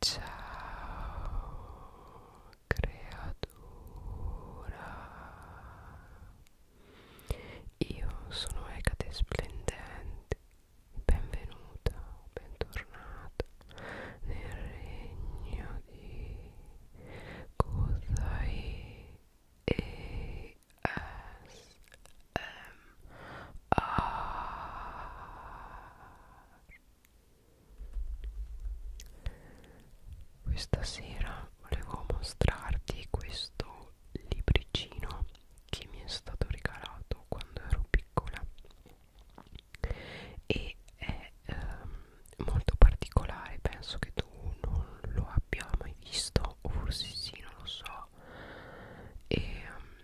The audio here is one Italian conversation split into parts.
Ciao creatura Io sono Ecate Splendente Benvenuta, bentornata nel regno di Kozai e S M Ah. Questa sera volevo mostrarti questo libricino che mi è stato regalato quando ero piccola e è ehm, molto particolare, penso che tu non lo abbia mai visto o forse sì, non lo so so e, mm,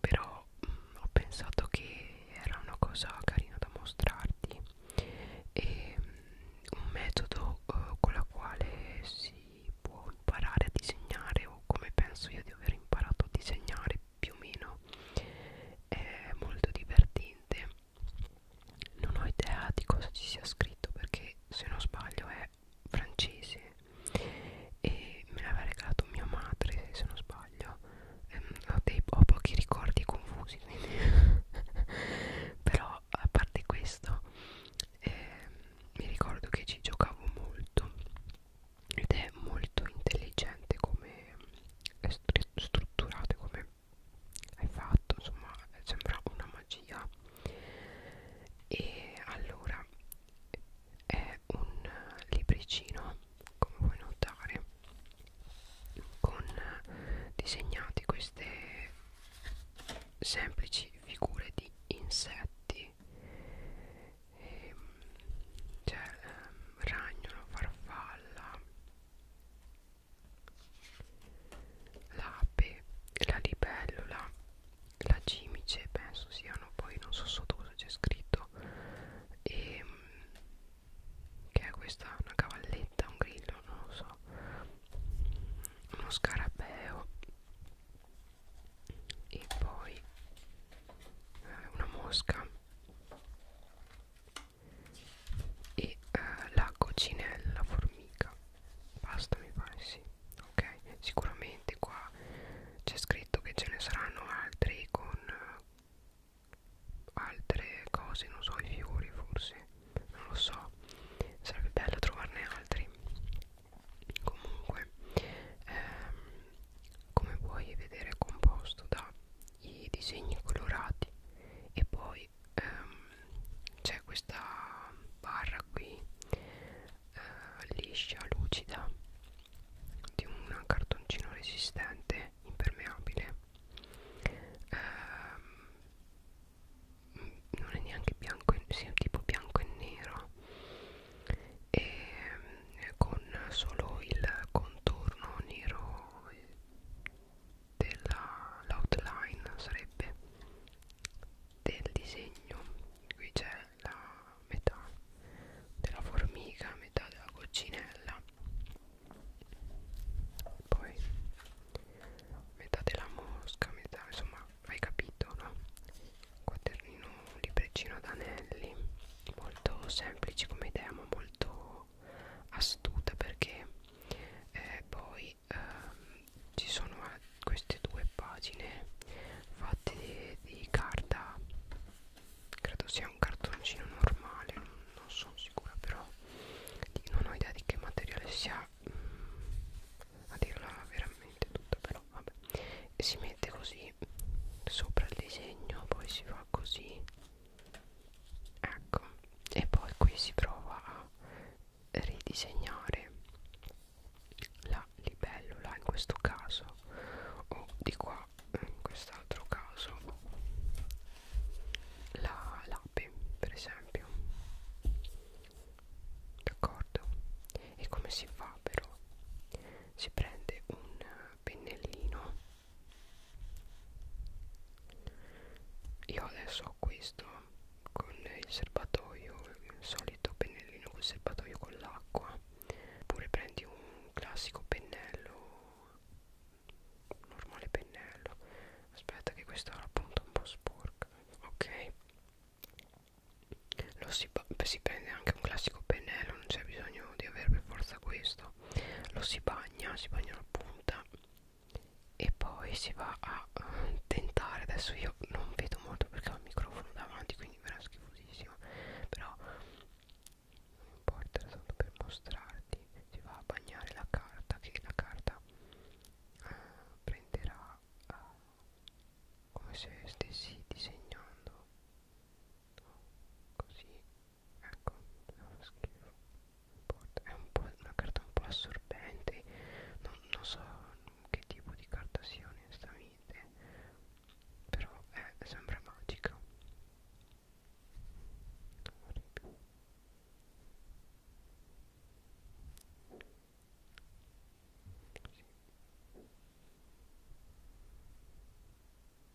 però mh, mm, ho pensato che era una cosa carina da mostrarti e mh, mm, un metodo uh, con la quale si può imparare a disegnare o come penso io di aver imparato a disegnare più o meno è molto divertente non ho idea di cosa ci sia scritto perché se non sbaglio è francese e me l'aveva regalato mia madre se non sbaglio ehm, ho, dei, ho pochi ricordi confusi quindi però a parte questo ehm, mi ricordo che ci giocavo molto ed è molto intelligente come è strutturato come hai fatto insomma sembra una magia e allora è un libricino come puoi notare con disegnati queste semplici figure di insetti e, ehm, cioè ehm, ragnolo farfalla l'ape, la libellula, la cimice penso siano poi non so sotto cosa c'è scritto e ehm, che è questa una cavalletta, un grillo, non lo so uno scarabeo e poi eh, una mosca e eh, la cocinella formica basta mi pare sì ok sicuramente qua c'è scritto che ce ne saranno altri con altre cose non so i fiori forse non lo so sarebbe bello trovarne altri comunque ehm, come puoi vedere è composto da i disegni colorati e poi ehm, c'è questa barra qui eh, liscia, lucida di un cartoncino resistente impermeabile eh, non è neanche bianco e sì, tipo bianco e nero e ehm, con solo il contorno nero dell'outline sarebbe del disegno qui c'è la metà della formica metà della coccinella poi metà della mosca metà insomma hai capito no quadernino un libricino ad anelli molto semplice come idea ma molto astuta perché eh, poi ehm, ci sono queste due pagine fatte di, di carta credo sia un cartoncino normale non, non sono sicura però non ho idea di che materiale sia mh, mm, a dirla veramente tutta però vabbè e si mette così sopra il disegno poi si fa così ecco e poi qui si prova a ridisegnare la libellula in questo caso o di qua in quest'altro caso la l'ape per esempio d'accordo e come si fa però si prende un pennellino io adesso ho questo con il serbatoio il solito pennellino col serbatoio con l'acqua oppure prendi un classico pennello normale pennello aspetta che questa era appunto un po' sporca ok lo si, si prende anche un classico pennello non c'è bisogno di avere per forza questo lo si bagna, si bagna la punta e poi si va a uh, tentare, adesso io non vedo molto perché ho il microfono davanti quindi verrà schifosissimo però non importa, era tanto per mostrarti si va a bagnare la carta che la carta uh, prenderà uh, come se stessi disegnando così ecco è uno schifo boh, è un po una carta un po' assorbente non, non so che tipo di carta sia onestamente però è, eh, sembra magica sì.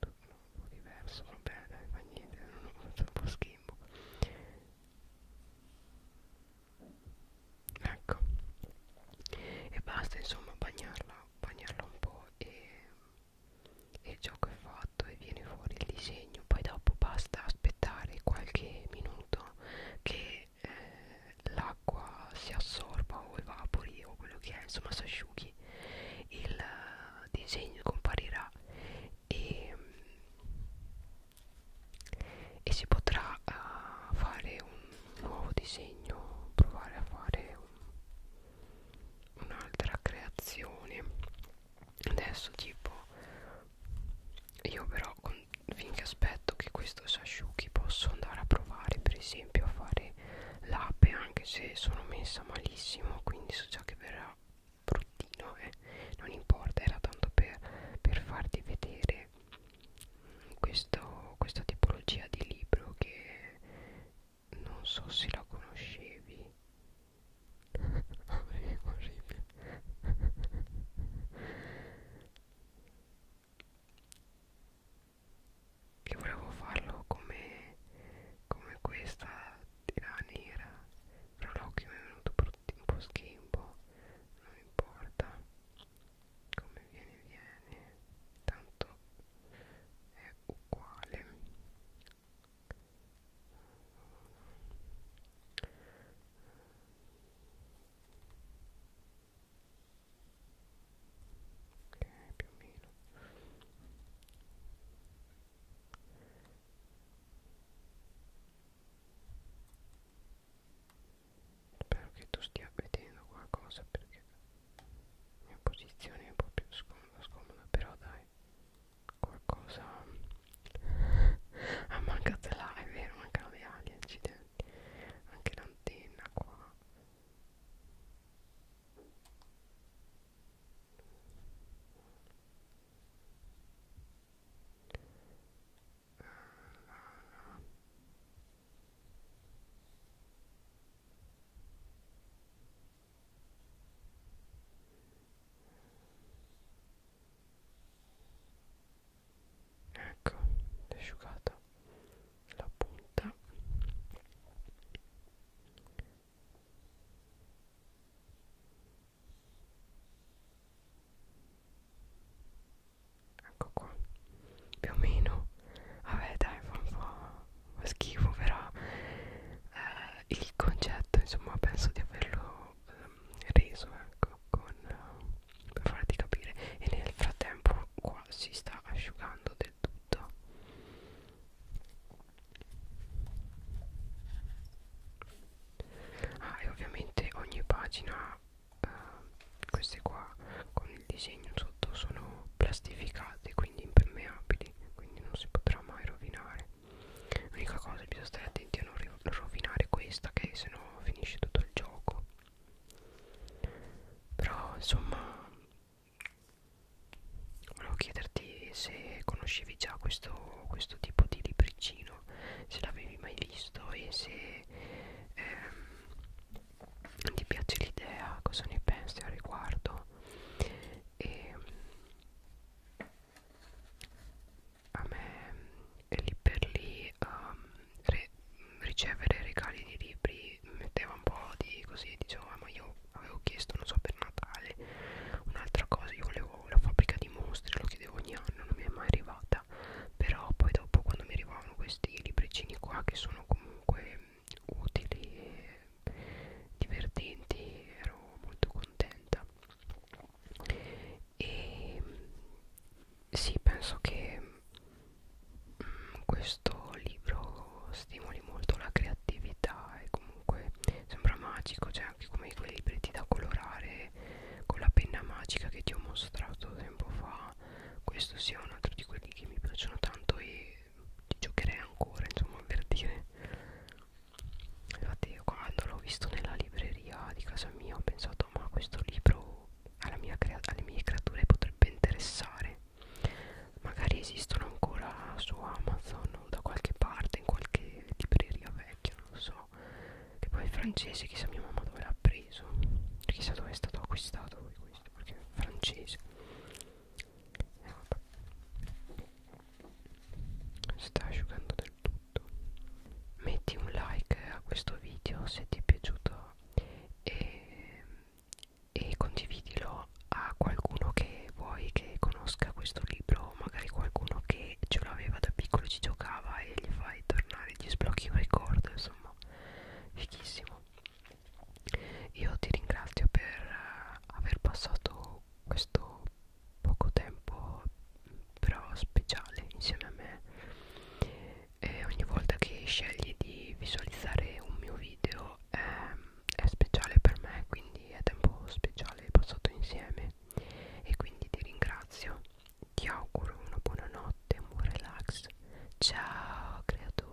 un po' diverso vabbè dai fa niente non ho fatto un po' schimbo ecco e basta insomma bagnarla bagnarla un po' e, e il gioco è fatto e viene fuori il disegno poi dopo basta aspettare qualche minuto che eh, la l'acqua si assorba o evapori o quello che è, insomma si asciughi, il uh, disegno comparirà e, e si potrà uh, fare un nuovo disegno, provare a fare un'altra un creazione. Adesso tipo io però con, finché aspetto che questo si asciughi posso andare a provare per esempio esempio a fare l'ape anche se sono messa malissimo quindi so già che verrà bruttino eh. non importa era tanto per, per farti vedere questo, questa tipologia di libro che non so se la conoscevi orribile che volevo farlo come, come questa tira nera però l'occhio mi è venuto brutti, un po' schimbo non importa come viene viene tanto è uguale ok più o meno spero che tu stia vedendo qualcosa perché la mia posizione è un po' più scomoda, scomoda però dai qualcosa ah manca te là è vero manca le ali accidenti anche l'antenna qua ecco asciugata la punta ecco qua più o meno vabbè dai fa un po' schifo però eh, il concetto insomma penso di averlo ehm, reso ecco con eh, per farti capire e nel frattempo qua si sta asciugando del tutto ah e ovviamente ogni pagina eh, queste qua con il disegno sotto sono plastificate quindi impermeabili quindi non si potrà mai rovinare l'unica cosa bisogna stare attenti a non rovinare questa che se no finisce tutto il gioco però insomma volevo chiederti se conoscevi già questo, questo tipo di libricino se l'avevi mai visto e se ehm, ti piace l'idea cosa ne pensi al riguardo e ehm, a me lì per lì um, re, ricevere regali di libri mi metteva un po' di così dicevo ah, ma io avevo chiesto non so per Natale un'altra cosa io volevo la fabbrica di mostri lo chiedevo ogni anno non mi è mai arrivata però poi dopo quando mi arrivavano questi libricini qua che sono comunque utili e divertenti ero molto contenta e sì penso che mh, mm, questo libro stimoli molto la creatività e comunque sembra magico cioè anche come quei libretti da colorare con la penna magica che ti ho mostrato tempo fa questo sia un altro di quelli che mi piacciono tanto e ci giocherei ancora insomma per dire infatti io quando l'ho visto nella libreria di casa mia ho pensato ma questo libro alla mia alle mie creature potrebbe interessare magari esistono ancora su Amazon o da qualche parte in qualche libreria vecchia non lo so che poi è francese chissà mia mamma dove l'ha preso chissà dove è stato acquistato questo perché è francese eh, vabbè sta asciugando del tutto metti un like a questo video se ti è piaciuto e, e condividilo a qualcuno che vuoi che conosca questo libro magari qualcuno che ce l'aveva da piccolo ci giocava e gli fai tornare gli sblocchi un ricordo insomma fichissimo io ti ringrazio per eh, aver passato questo poco tempo però speciale insieme a me e ogni volta che scegli di visualizzare un mio video è, ehm, è speciale per me quindi è tempo speciale passato insieme e quindi ti ringrazio ti auguro una buona notte un buon relax ciao creatura